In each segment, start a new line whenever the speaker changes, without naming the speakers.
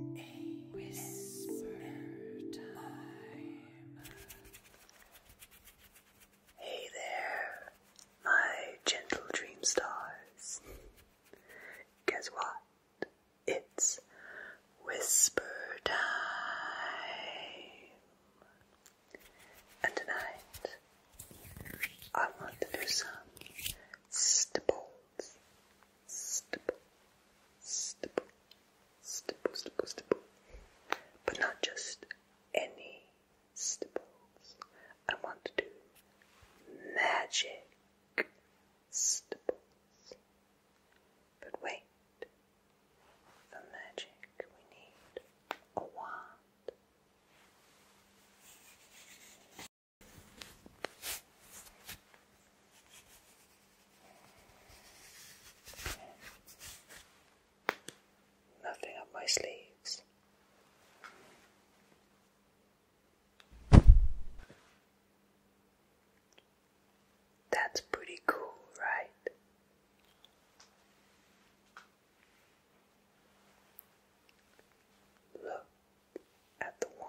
A Hey there, my gentle dream stars. Guess what? It's whisper time. And tonight, I want to do some stipple stipple, stipple, stipple, stipple, stipple. But not just any stipples. I want to do magic stipples. But wait, for magic we need a wand. Nothing up my sleeves. That's pretty cool, right?
Look at the wand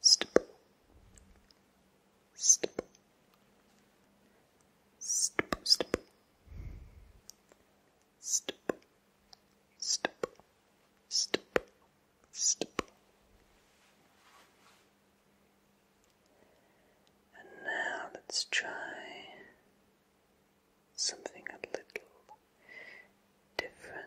stipple, stipple, stipple, stipple, stipple, stipple, stipple, stipple.
And now let's try something a little different.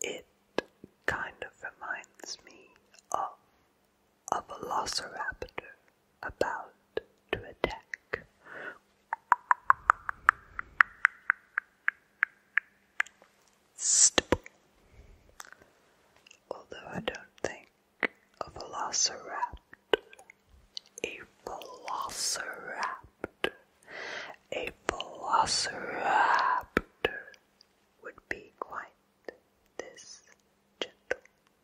It kind of reminds me of a velociraptor about to attack. Stipple. Although I don't think a velociraptor, a velociraptor, a velociraptor would be quite this gentle.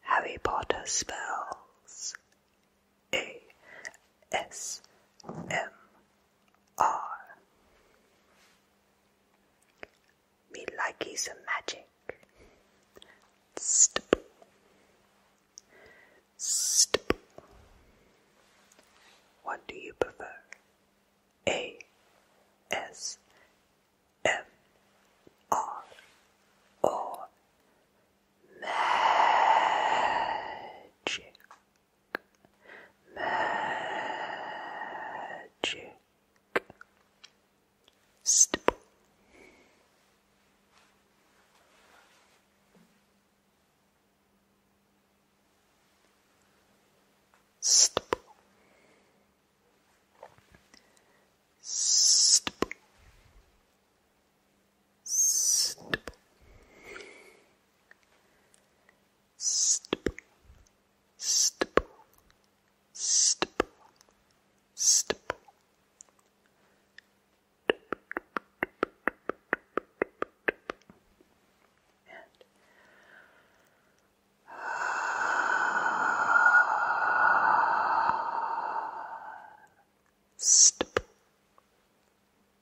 Harry Potter spells A S M R. Me likey some magic. Stip. Stip. What do you prefer? A S M R or magic, magic,
stipple. Stipple. Stipple. Stipple. Stipple. Stipple. Stipple. Stipple. And Stip.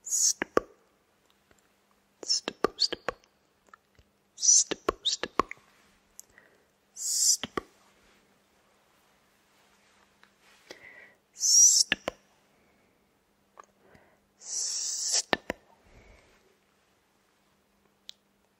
Stip. Stip, stip. Stip, stip. Stip. Stip. Stip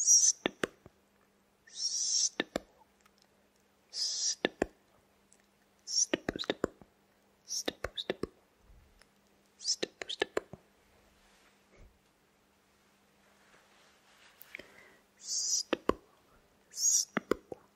Stip, stip, stip, stip, stip, stip, stip, stip, stip. Stipple, stipple,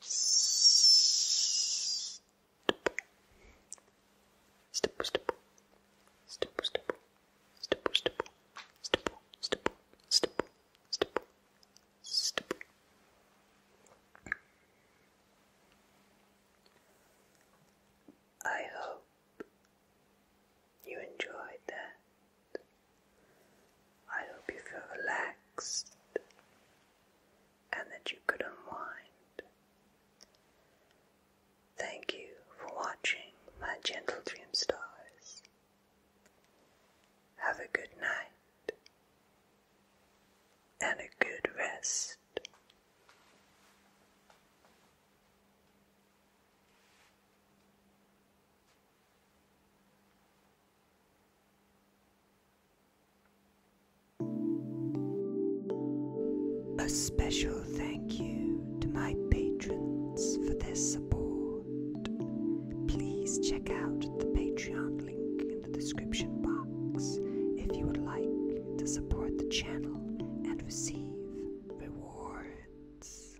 Step, step, step, step, step, step, step, step, step, step, step.
I hope you enjoyed that I hope you feel relaxed and that you could unwind. Thank you for watching my gentle dream stars. Have a good night and a good rest. A special thank you to my patrons for their support. Please check out the Patreon link in the description box if you would like to support the channel and receive rewards.